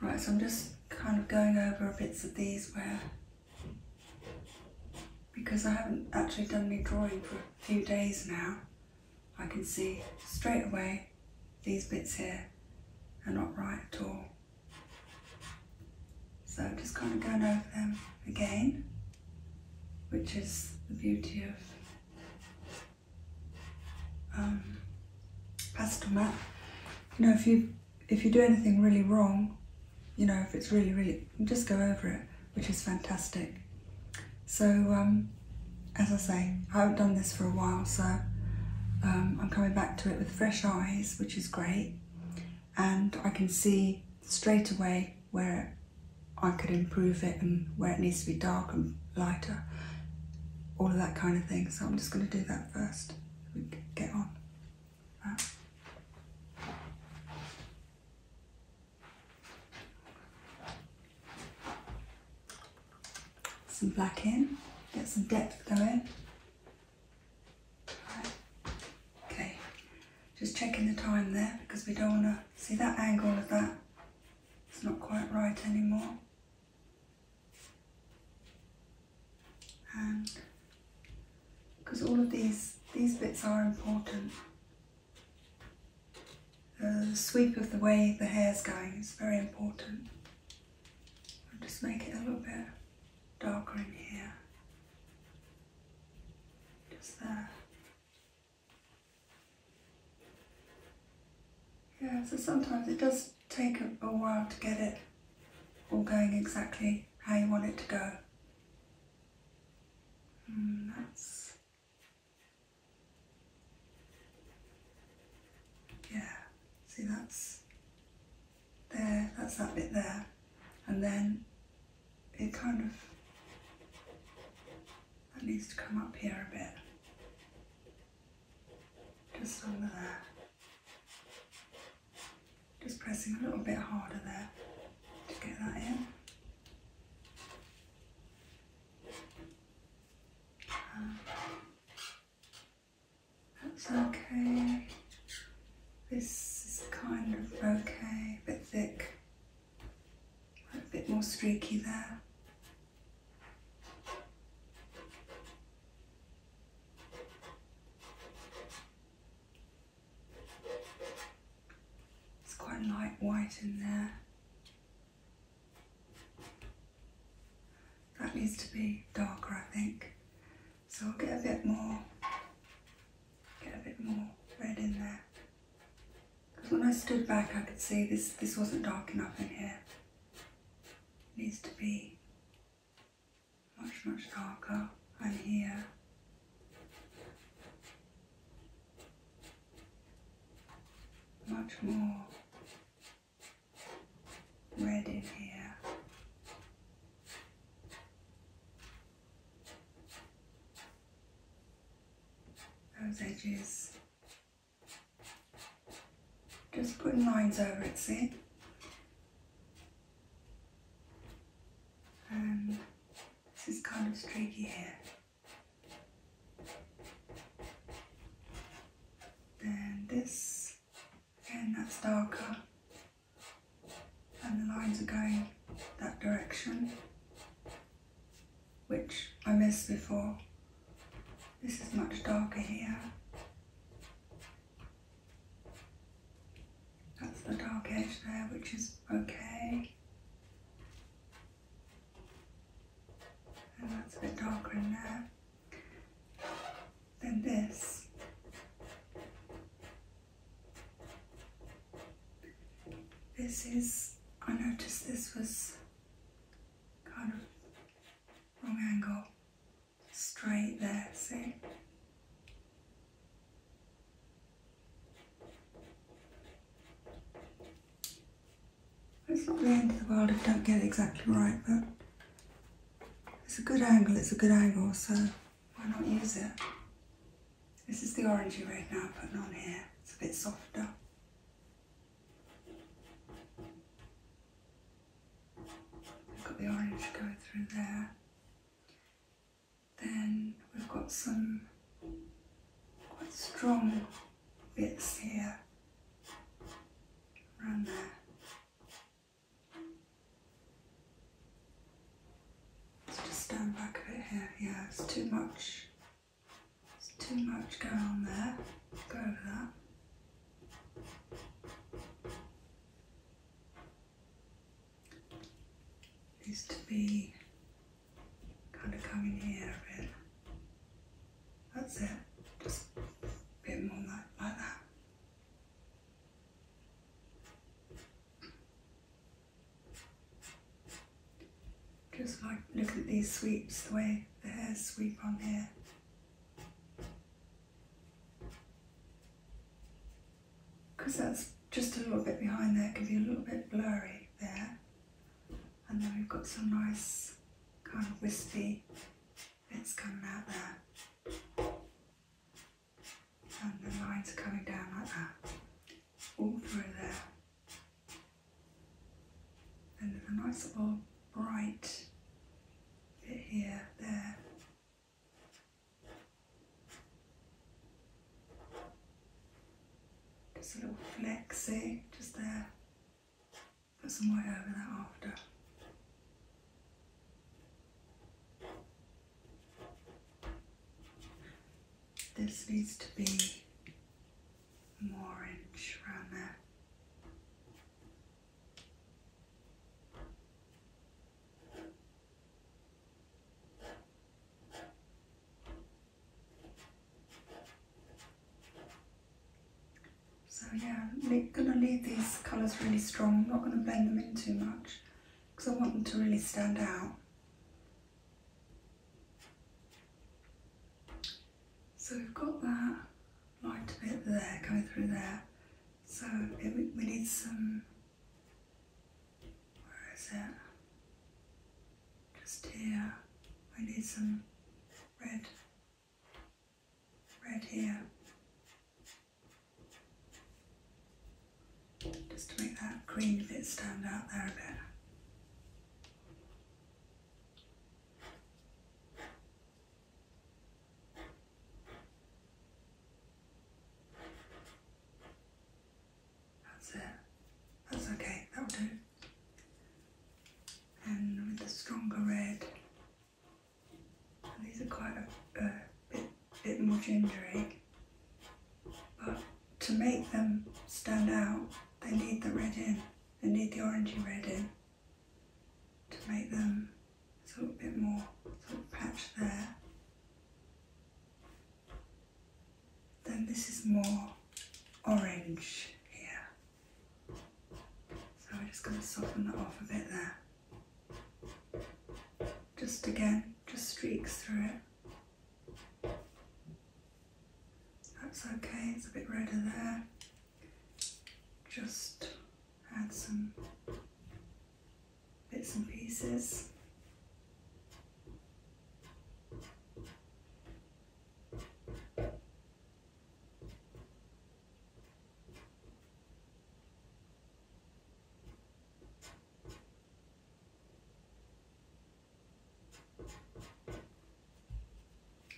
Right, so I'm just kind of going over bits of these where, because I haven't actually done any drawing for a few days now, I can see straight away these bits here are not right at all. So I'm just kind of going over them again, which is the beauty of um, pastel mat. You know, if you if you do anything really wrong, you know, if it's really really, just go over it, which is fantastic. So um, as I say, I haven't done this for a while, so um, I'm coming back to it with fresh eyes, which is great, and I can see straight away where I could improve it and where it needs to be darkened lighter, all of that kind of thing. So I'm just going to do that first. get on. Some black in, get some depth going. Okay, just checking the time there because we don't want to see that angle of that. It's not quite right anymore because all of these, these bits are important. The sweep of the way the hair's going is very important. I'll just make it a little bit darker in here. Just there. Yeah, so sometimes it does take a, while to get it all going exactly how you want it to go. Mm, that's yeah. See, that's there. That's that bit there, and then it kind of that needs to come up here a bit. Just under there. Just pressing a little bit harder there to get that in. that's okay. This is kind of okay, a bit thick, a bit more streaky there. It's quite light white in there. That needs to be darker, I think. So I'll get a bit more, get a bit more red in there. Because when I stood back, I could see this, this wasn't dark enough in here needs to be much, much darker and here much more red in here. Those edges just putting lines over it, see? Um, this is kind of streaky here. And this, again that's darker. And the lines are going that direction, which I missed before. This is much darker here. That's the dark edge there, which is okay. And that's a bit darker in there. Then this. This is, I noticed this was kind of wrong angle, straight there, see? It's not the end of the world if you don't get it exactly right, but it's a good angle, it's a good angle, so why not use it? This is the orangey red now I'm putting on here, it's a bit softer. We've got the orange going through there. Then we've got some quite strong bits here around there. Let's just stand back a bit here. Yeah, it's too much. It's too much going on there. Go over that. Needs to be kind of coming here a That's it. Just a bit more like, like that. Just like look at these sweeps, the way the hairs sweep on here because that's just a little bit behind there, can be a little bit blurry there. And then we've got some nice kind of wispy bits coming out there. And the lines are coming down like that, all through there. And then the nice little Right bit here, there. Just a little flexy, just there. Put some white over that after. This needs to be more orange around there. So yeah, I'm gonna leave these colours really strong. not gonna blend them in too much because I want them to really stand out. So we've got that light bit there going through there. So we need some, where is it? Just here. We need some red, red here. Just to make that green bit stand out there a bit. That's it. That's okay, that'll do. And with the stronger red, and these are quite a, a bit, bit more gingery, but to make them stand out, they need the red in, they need the orangey red in to make them a little bit more sort of patch there. Then this is more orange here. So we're just going to soften that off a bit there. Just again, just streaks through it. That's okay, it's a bit redder there. Just add some bits and pieces.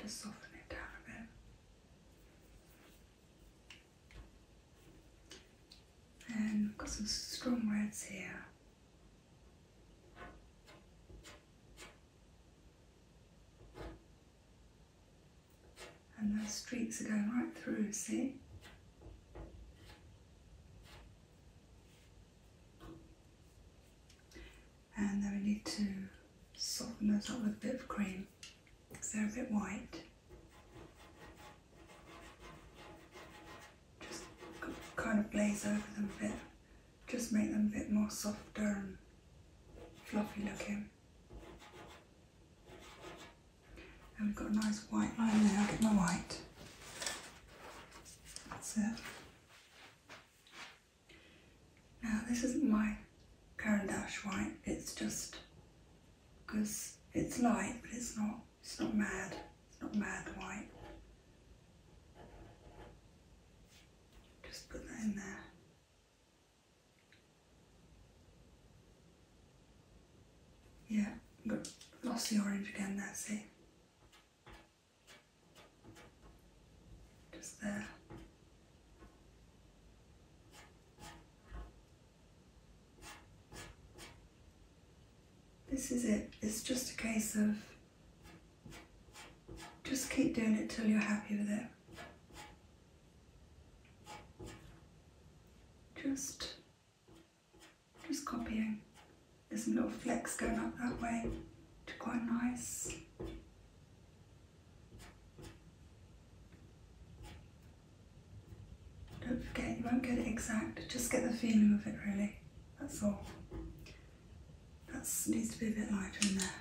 Just soften it down a bit and we've got some strong reds here. And those streaks are going right through, see? And then we need to soften those up with a bit of cream because they're a bit white. Just kind of blaze over them a bit, just make them a bit more softer and fluffy looking. And we've got a nice white line there, I'll get my white. That's it. Now this isn't my Dash white, it's just because it's light but it's not it's not mad, it's not mad white. Just put that in there. Yeah, but lost the orange again there, see? Just there. This is it. It's just a case of just keep doing it till you're happy with it. Just, just copying. There's some little flecks going up that way to quite nice don't forget, you won't get it exact, just get the feeling of it really, that's all. That needs to be a bit lighter in there.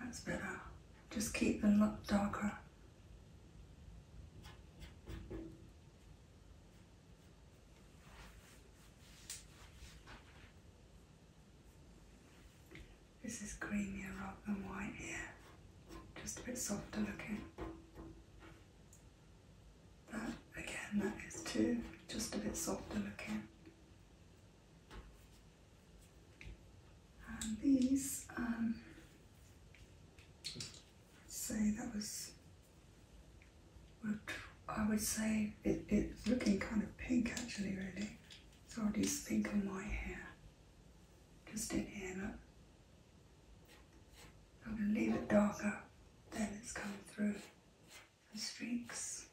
That's better. Just keep the look darker. This is creamier rather than white here, just a bit softer looking. That again, that is too, just a bit softer looking. And these, um, I'd say that was I would say it's looking kind of pink actually really. So I'll just sprinkle my hair just in here, I'm going to leave it darker Then it's coming through the streaks.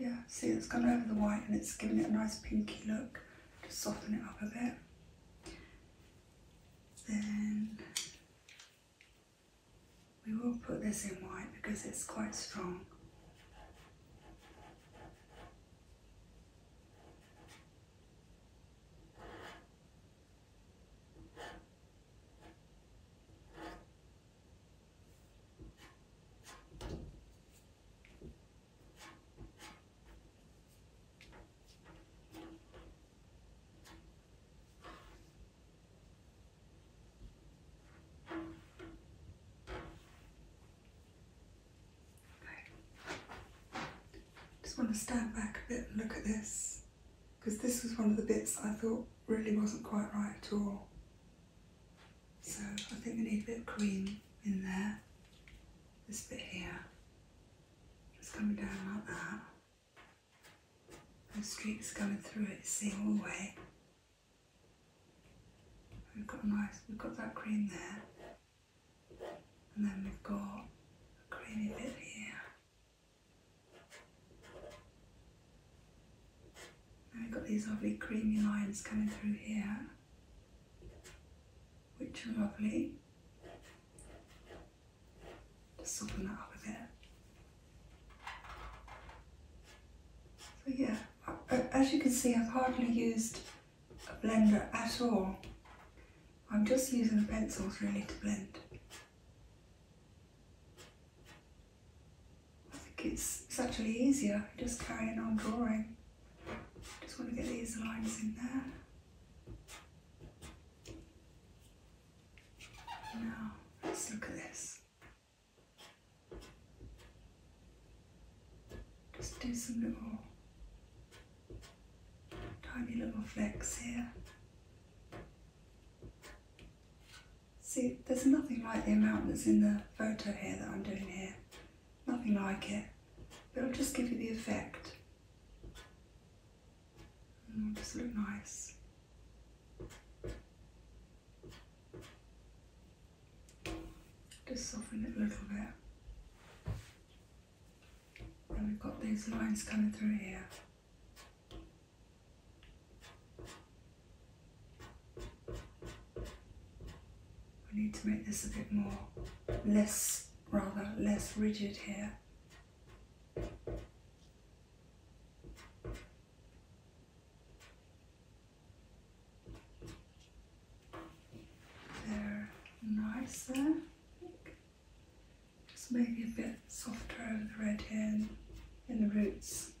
Yeah, see it's gone over the white and it's giving it a nice pinky look to soften it up a bit. Then we will put this in white because it's quite strong just want to stand back a bit and look at this because this was one of the bits I thought really wasn't quite right at all. So I think we need a bit of cream in there, this bit here, just coming down like that and streaks coming through it single way. We've got nice, we've got that green there, and then we've got a creamy bit here. And we've got these lovely creamy lines coming through here, which are lovely. Just soften that up a bit. So yeah, as you can see, I've hardly used a blender at all. I'm just using pencils really to blend. I think it's, actually easier just carrying on drawing. I Just want to get these lines in there. Now, let's look at this. Just do some little tiny little flecks here. See, there's nothing like the amount that's in the photo here that I'm doing here. Nothing like it. But it'll just give you the effect just look nice. Just soften it a little bit. And we've got these lines coming through here. We need to make this a bit more less, rather less rigid here. They're nicer. Just maybe a bit softer over the red hair in the roots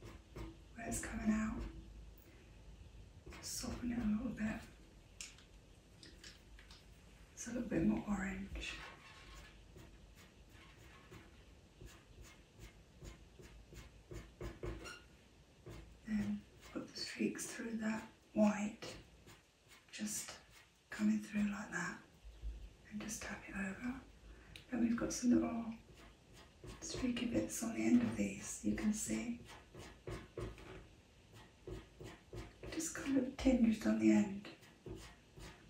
where it's coming out. Soften it a little bit. It's a little bit more orange. Then put the streaks through that white, just coming through like that, and just tap it over. And we've got some little streaky bits on the end of these, you can see. Just kind of tinged on the end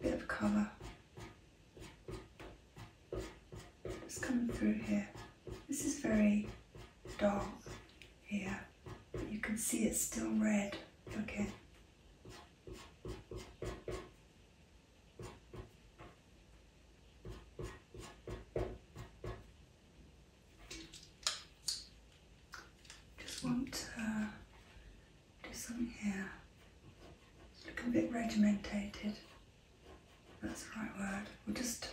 bit of colour. It's coming through here. This is very dark here. you can see it's still red. Okay. Just want to do something here. Looking a bit regimentated. That's the right word. We'll just.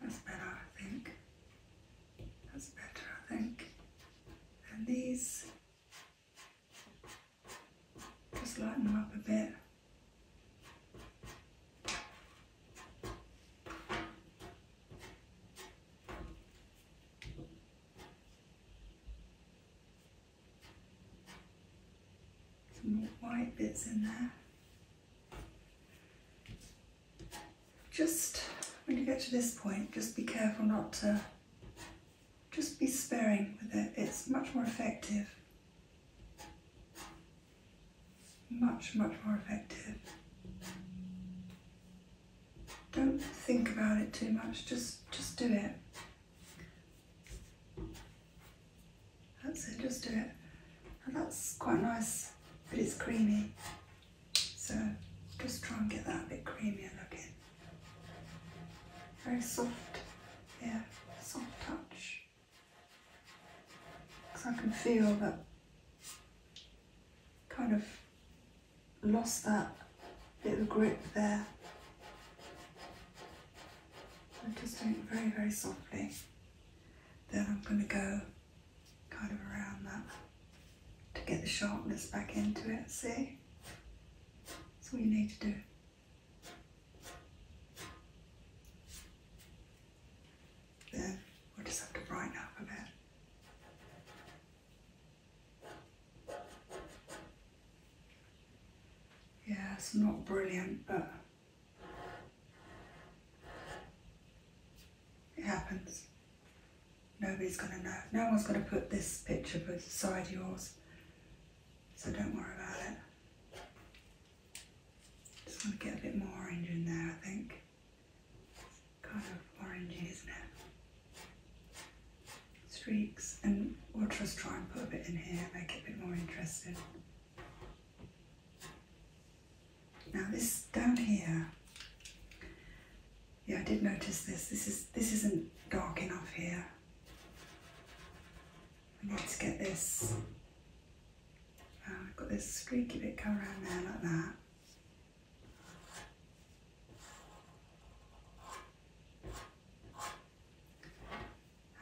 That's better, I think. That's better, I think. And these. Just lighten them up a bit. Some more white bits in there. Just when you get to this point, just be careful not to, just be sparing with it. It's much more effective. Much, much more effective. Don't think about it too much, just, just do it. That's it, just do it. that's quite nice, but it's creamy. So just try and get that a bit creamier looking. Very soft, yeah, soft touch. Because I can feel that kind of lost that bit of grip there. I'm just doing it very, very softly. Then I'm going to go kind of around that to get the sharpness back into it, see? That's all you need to do. Then we just have to brighten up a bit. Yeah, it's not brilliant, but it happens. Nobody's going to know. No one's going to put this picture beside yours, so don't worry about it. Just want to get a bit more orange in there, I think kind of orangey, isn't it? Streaks, and we'll just try and put a bit in here, make it a bit more interesting. Now this down here, yeah, I did notice this. This is this isn't dark enough here. I need to get this. Uh, I've got this streaky bit going around there like that.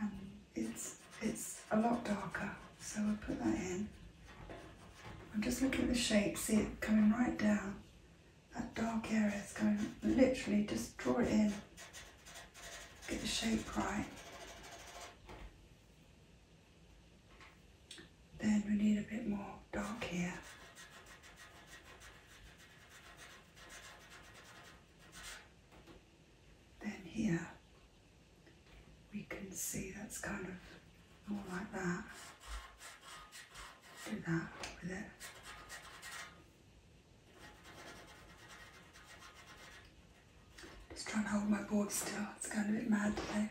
Um, it's, it's a lot darker, so I'll put that in. I'm just looking at the shape, see it coming right down. That dark area is going, literally just draw it in, get the shape right. Then we need a bit more dark here. Then here, we can see that's kind of more like that. Do that with it. Just trying to hold my board still, it's kind of a bit mad today.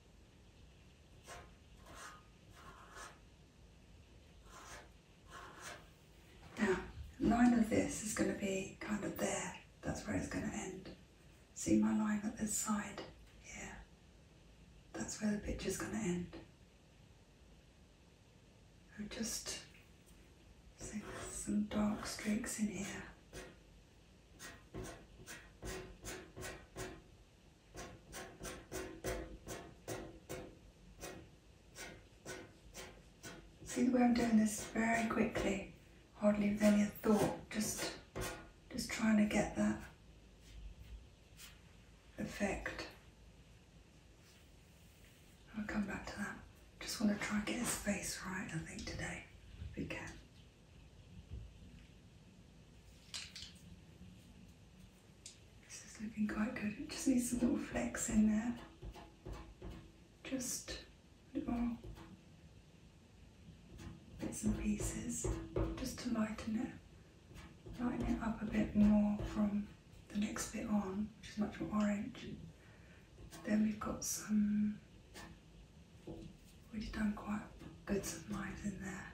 Now, line of this is going to be kind of there, that's where it's going to end. See my line at this side Yeah, That's where the picture's going to end. i am just seeing some dark streaks in here. See the way I'm doing this very quickly, hardly with any thought, just, just trying to get that effect. I'll come back to that. Just want to try and get his face right, I think, today, if we can. This is looking quite good. It just needs a little flex in there. Just a little bits and pieces just to lighten it. Lighten it up a bit more from the next bit on, which is much more orange. Then we've got some, we've done quite good sunrise in there.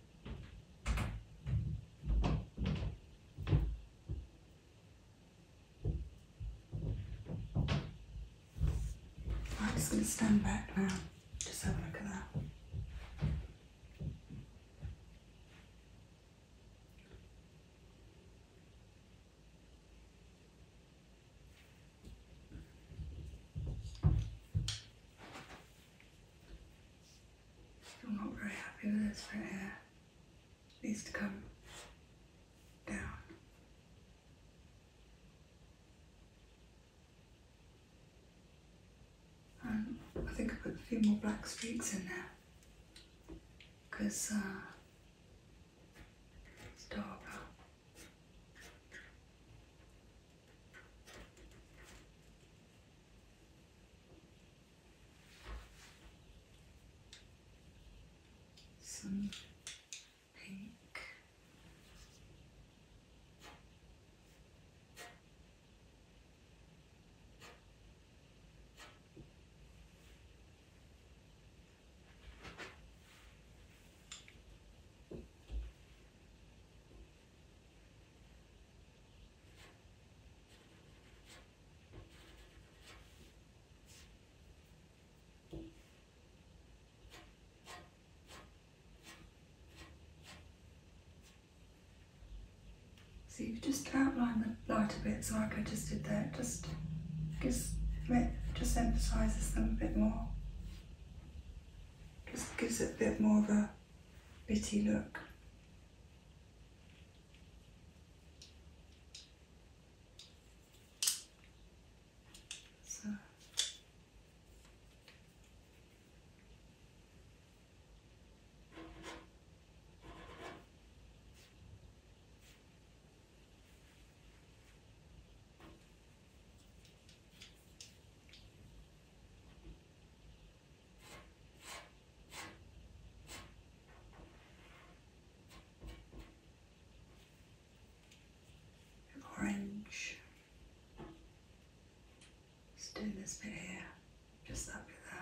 I'm just going to stand back now, just have a look at that. Still not very happy with this right here. It needs to come down. And I think I put a few more black streaks in there because uh, it's darker some pink. So you just outline the lighter bits like I just did there, just gives it just emphasises them a bit more. Just gives it a bit more of a bitty look. So and orange. Just doing this bit here, just that bit there.